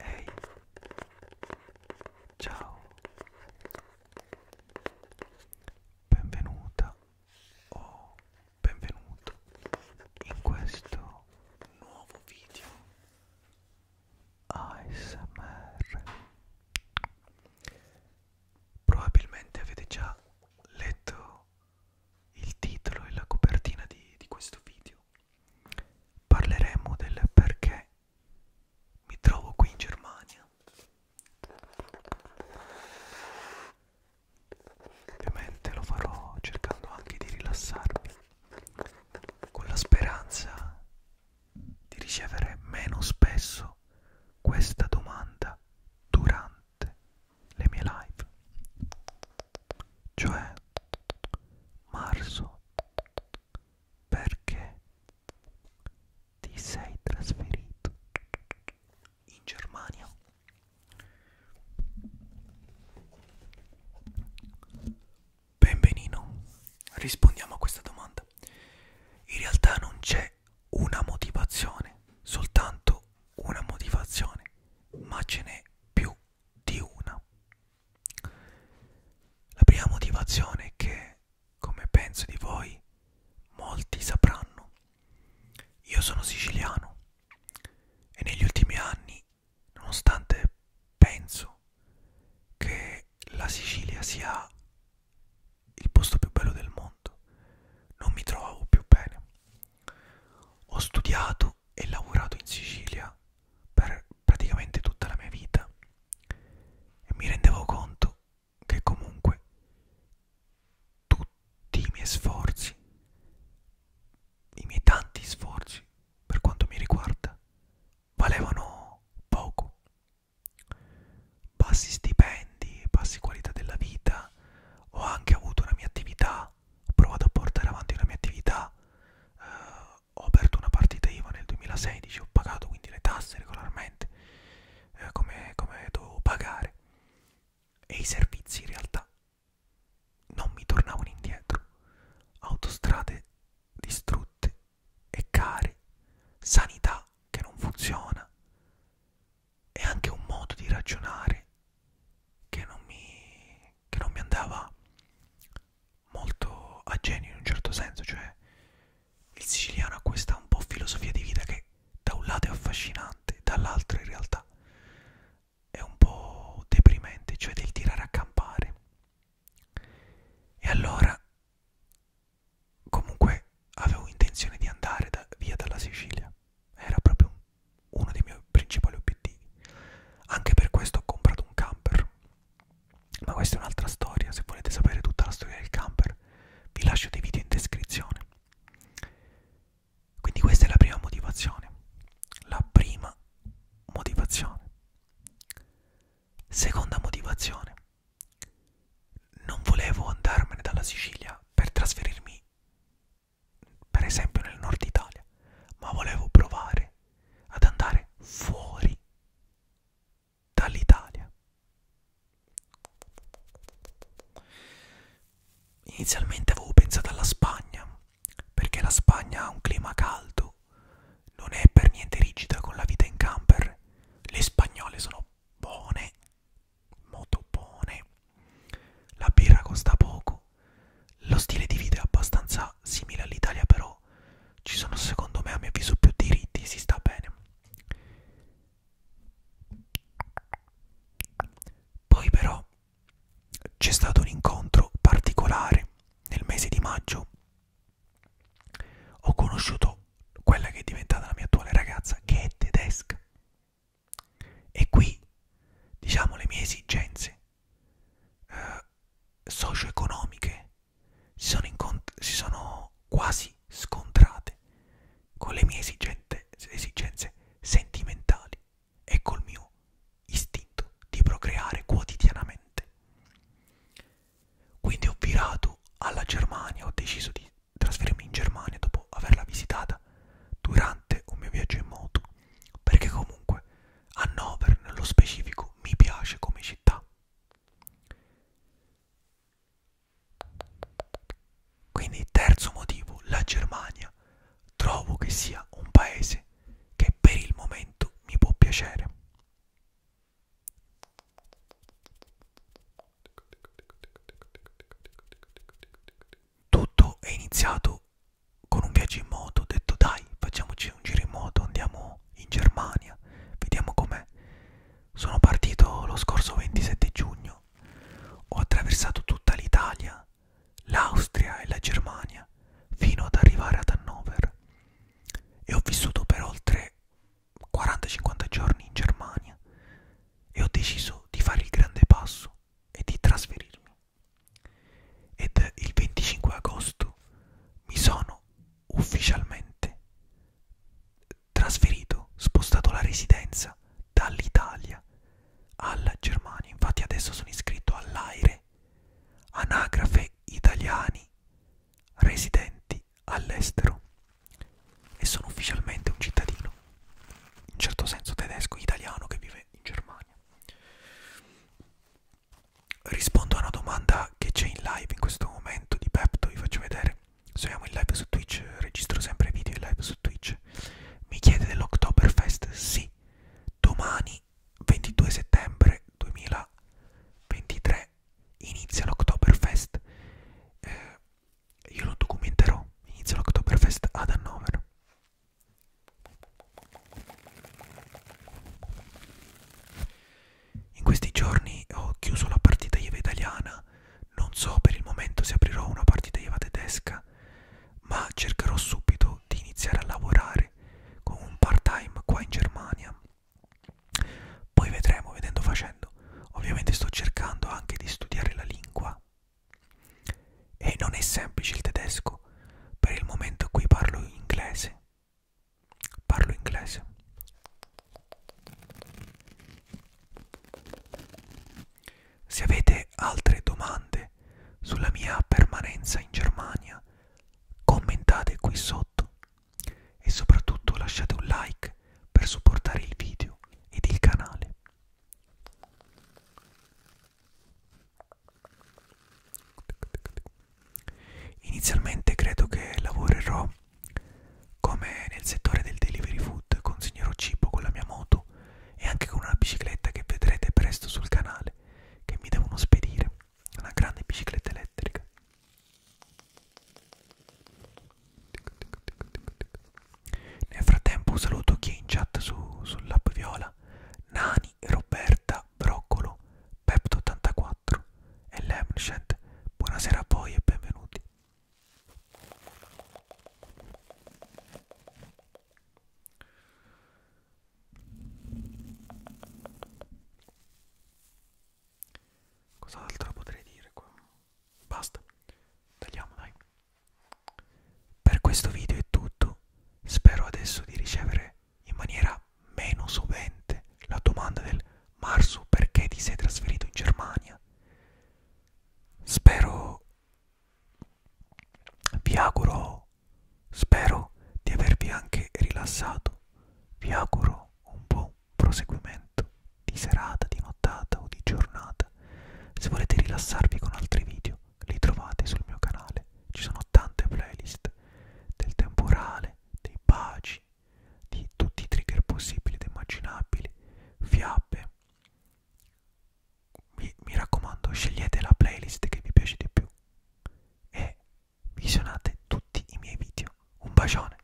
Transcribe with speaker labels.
Speaker 1: Ehi, hey. ciao, benvenuta o benvenuto in questo nuovo video ASMR. Probabilmente avete già letto il titolo e la copertina di, di questo video parleremo del perché mi trovo qui in Germania. Ovviamente lo farò cercando anche di rilassarmi, con la speranza di ricevere meno spesso questa domanda durante le mie live cioè marzo perché ti sei trasferito in Germania Benvenino, rispondiamo a questa domanda. In realtà non c'è una motivazione, soltanto una motivazione, ma ce n'è più di una. La prima motivazione è che, come penso di voi, molti sapranno, io sono siciliano e negli ultimi anni, nonostante penso che la Sicilia sia il posto più bello del mondo, non mi trovavo più bene. Ho studiato vissuto e lavorato in Sicilia per praticamente tutta la mia vita e mi rendevo conto che comunque tutti i miei sforzi, i miei tanti sforzi per quanto mi riguarda, valevano poco. Bassi stipendi, bassi qualità della vita, ho anche avuto una mia attività ho provato a portare avanti la mia attività, eh, ho aperto una partita IVA nel 2016, ho pagato quindi le tasse regolarmente, eh, come, come dovevo pagare, e i servizi in realtà non mi tornavano indietro, autostrade distrutte e care, sanità che non funziona, e anche un modo di ragionare che non mi, che non mi andava molto a genio in un certo senso, cioè il siciliano ha questa un po' filosofia di vita che da un lato è affascinante, dall'altro in realtà è un po' deprimente, cioè del tirare a campare. E allora comunque avevo intenzione di andare da, via dalla Sicilia, era proprio un uno dei miei principali obiettivi. Anche per questo ho comprato un camper. Ma questa è un'altra storia, se volete sapere tutta la storia del camper vi lascio dei video in descrizione. Quindi questa è la prima motivazione. La prima motivazione. Seconda motivazione. Non volevo andarmene dalla Sicilia per trasferirmi per esempio nel nord Italia, ma volevo provare ad andare fuori dall'Italia. Inizialmente avevo pensato alla Spagna, perché la Spagna ha un clima caldo, non è per niente rigida con la vita in camper, le spagnole sono buone, molto buone, la birra costa poco lo stile di vita è abbastanza simile all'Italia, però ci sono secondo me a mio avviso più diritti, si sta bene. Poi però c'è stato un incontro particolare nel mese di maggio. Ho conosciuto quella che è diventata la mia attuale ragazza, che è tedesca. E qui, diciamo, le mie esigenze eh, socio-economiche si sono, si sono quasi scontrate con le mie esigenze, esigenze sentimentali e col mio istinto di procreare quotidianamente. Quindi ho virato alla Germania, ho deciso di trasferirmi in Germania dopo averla visitata durante un mio viaggio in moto, perché comunque Hannover nello specifico mi piace come città. Quindi terzo motivo, la Germania. Trovo che sia un paese che per il momento mi può piacere. Tutto è iniziato con un viaggio in moto ho detto dai facciamoci un giro in moto andiamo in Germania vediamo com'è sono partito lo scorso 27 giugno ho attraversato tutta l'Italia l'Austria e la Germania fino ad arrivare ad Hannover e ho vissuto per oltre 40-50 giorni in Germania e ho deciso di fare il grande passo e di trasferirmi ed il 25 agosto mi sono ufficialmente trasferito, spostato la residenza dall'Italia alla Germania. Infatti adesso sono iscritto all'AIRE, Anagrafe Italiani Residenti all'estero e sono ufficialmente un cittadino, in certo senso tedesco, italiano che vive in Germania. Spagna. Rispondo a una domanda che c'è in live in questo momento di Pepto, vi faccio vedere. Siamo in live su Twitch, registro sempre video in live su Twitch. Mi chiede dell'Octoberfest? Sì, domani 22 settembre 2023 inizia l'Octoberfest. Eh, io lo documenterò, inizia l'Octoberfest ad Hannover. In questi giorni ho chiuso la partita IVA italiana, non so per il momento se aprirò una partita IVA tedesca, ma cercherò subito di iniziare a lavorare con un part-time qua in Germania. Poi vedremo, vedendo facendo. Ovviamente sto cercando anche di studiare la lingua e non è semplice il tedesco, per il momento qui parlo inglese. Parlo inglese. Se avete altre domande sulla mia permanenza in Germania, commentate qui sotto e soprattutto lasciate un like per supportare il video ed il canale. Inizialmente credo che lavorerò come nel settore del delivery food, consegnerò cibo con la mia moto e anche con una bicicletta che vedrete presto sul canale, che mi devono spedire, una grande bicicletta elettrica. Nel frattempo saluto chi in chat su, sull'app Viola Coca-Cola, Nani Roberta Broccolo, Pepto 84 e Lemnchent. Buonasera a voi e benvenuti. Cos'altro potrei dire qua? Basta, tagliamo dai. Per questo video è tutto, spero adesso di ricevere in maniera meno sovente la domanda del Marsu perché ti sei trasferito in Germania. Spero, vi auguro, spero di avervi anche rilassato, vi auguro un buon proseguimento di serata, di nottata o di giornata. Se volete rilassarvi con altri video li trovate sul mio canale. Ci sono tante playlist del temporale, dei baci, di tutti i trigger possibili ed immaginabili, fiabe. Mi, mi raccomando, scegliete la playlist che vi piace di più e visionate tutti i miei video. Un bacione!